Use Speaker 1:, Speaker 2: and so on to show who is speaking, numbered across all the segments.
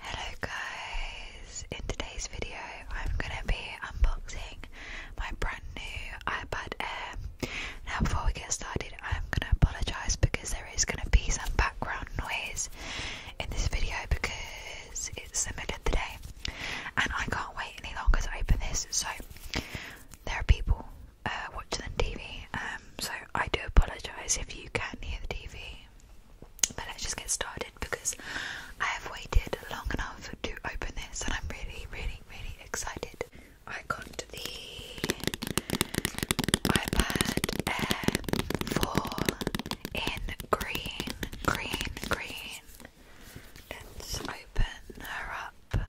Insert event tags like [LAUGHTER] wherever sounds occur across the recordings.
Speaker 1: Hello guys, in today's video I'm going to be unboxing my brand new iPad Air. Now before we get started I'm going to apologise because there is going to be some background noise in this video because it's the middle of the day and I can't wait any longer to open this so there are people uh, watching on TV um, so I do apologise if you can not hear the TV but let's just get started because I have waited long enough to open this and I'm really, really, really excited. I got the iPad Air 4 in green, green, green. Let's open her up.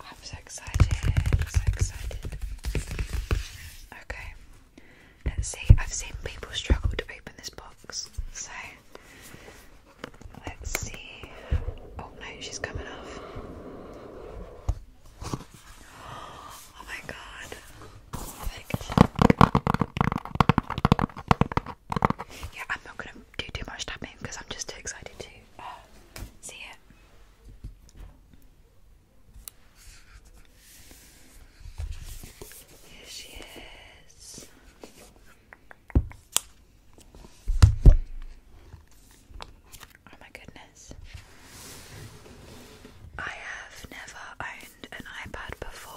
Speaker 1: I'm so excited, so excited. Okay, let's see. I've seen people struggle to open this box, so let's see. Oh no, she's coming off. Oh my god. Yeah, I'm not gonna do too much tapping because I'm just too excited to see it. Here she is. Oh my goodness. I have never owned an iPad before.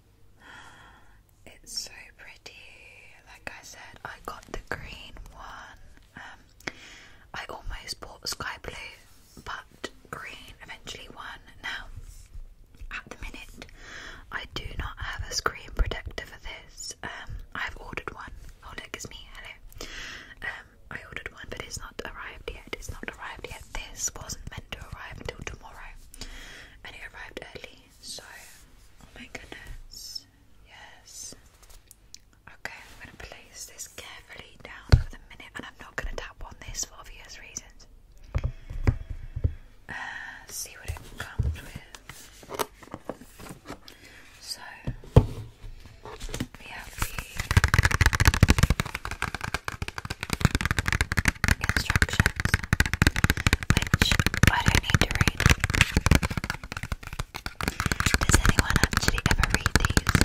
Speaker 1: It's so pretty. Like I said, I got the green one. Um, I almost bought sky blue, but green eventually won. Now, at the minute, I do not have a screen protector for this. Um, I've ordered one. Oh look, it's me. Hello. Um, I ordered one, but it's not arrived yet. It's not arrived yet. This wasn't meant to arrive until tomorrow, and it arrived early. So, oh my goodness, yes. Okay, I'm gonna place this carefully down for the minute, and I'm not gonna tap on this for obvious reasons. Uh, see what it comes with. So we have the instructions, which I don't need to read. Does anyone actually ever read these?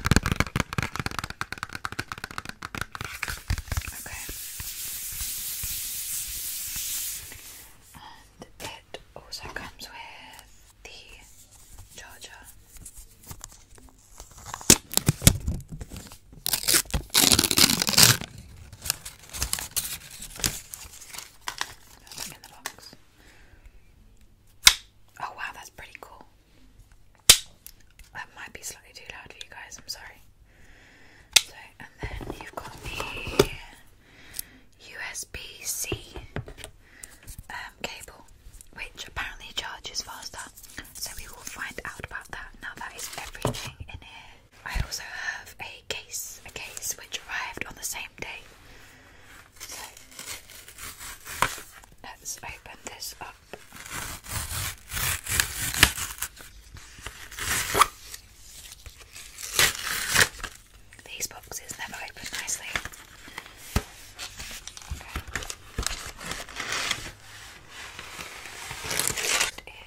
Speaker 1: Okay. And it also comes with the charger. Oh wow, that's pretty cool. That might be slightly too loud for you guys, I'm sorry. So, and then you've got the USB C um, cable, which apparently charges faster. So we will find out about that. Now that is everything in here. I also have a case, a case which arrived on the same day. So let's open this up. These boxes never open nicely. It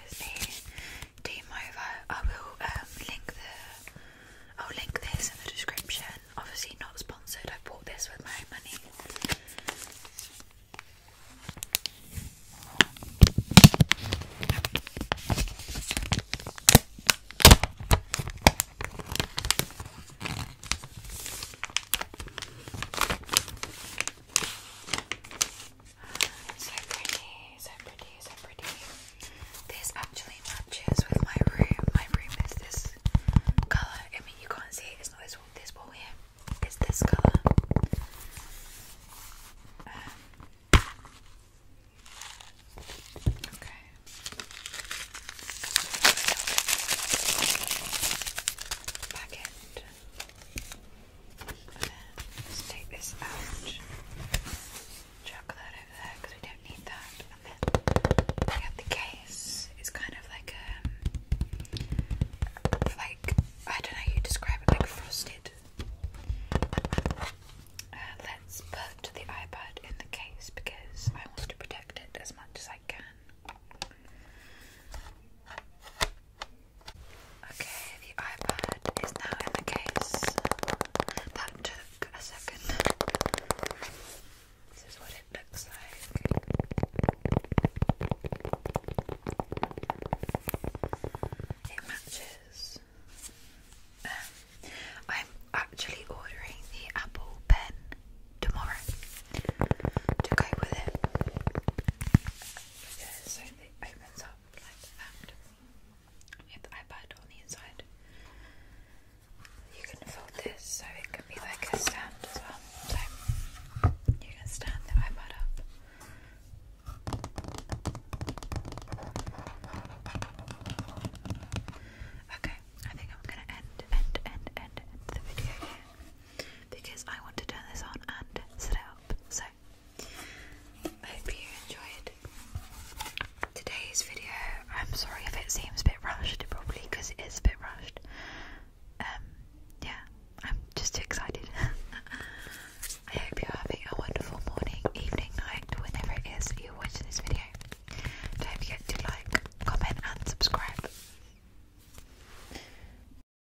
Speaker 1: is a team over. I will um, link the. I'll link this in the description. Obviously not sponsored. I bought this with my own money. So pretty, so pretty, so pretty. This actually matches with my room. My room is this colour. I mean, you can't see it, it's not this wall, here. It's this colour. Um, okay. Packet let's take this out. Chuck that over there because we don't need that. And then the case. It's kind of like a, um, like I don't know you describe it, like frosted. Uh, let's put the iPod in the case because I want to protect it as much as I can. Okay, the iPad is now in the case. That took a second. This is what it looks like. It matches. Um, I'm actually ordering the Apple Pen tomorrow to go with it because so it opens up like that. You have the iPad on the inside. You can fold this so it can be like a stand as well. So you can stand the iPad up. Okay, I think I'm gonna end, end, end, end, end the video here because I want to turn this on and sit out. So, I hope you enjoyed today's video. I'm sorry if it seems a bit rushed, probably because it is a bit rushed. Um, yeah, I'm just too excited. [LAUGHS] I hope you're having a wonderful morning, evening, night, whenever it is that you're watching this video. Don't forget to like, comment, and subscribe.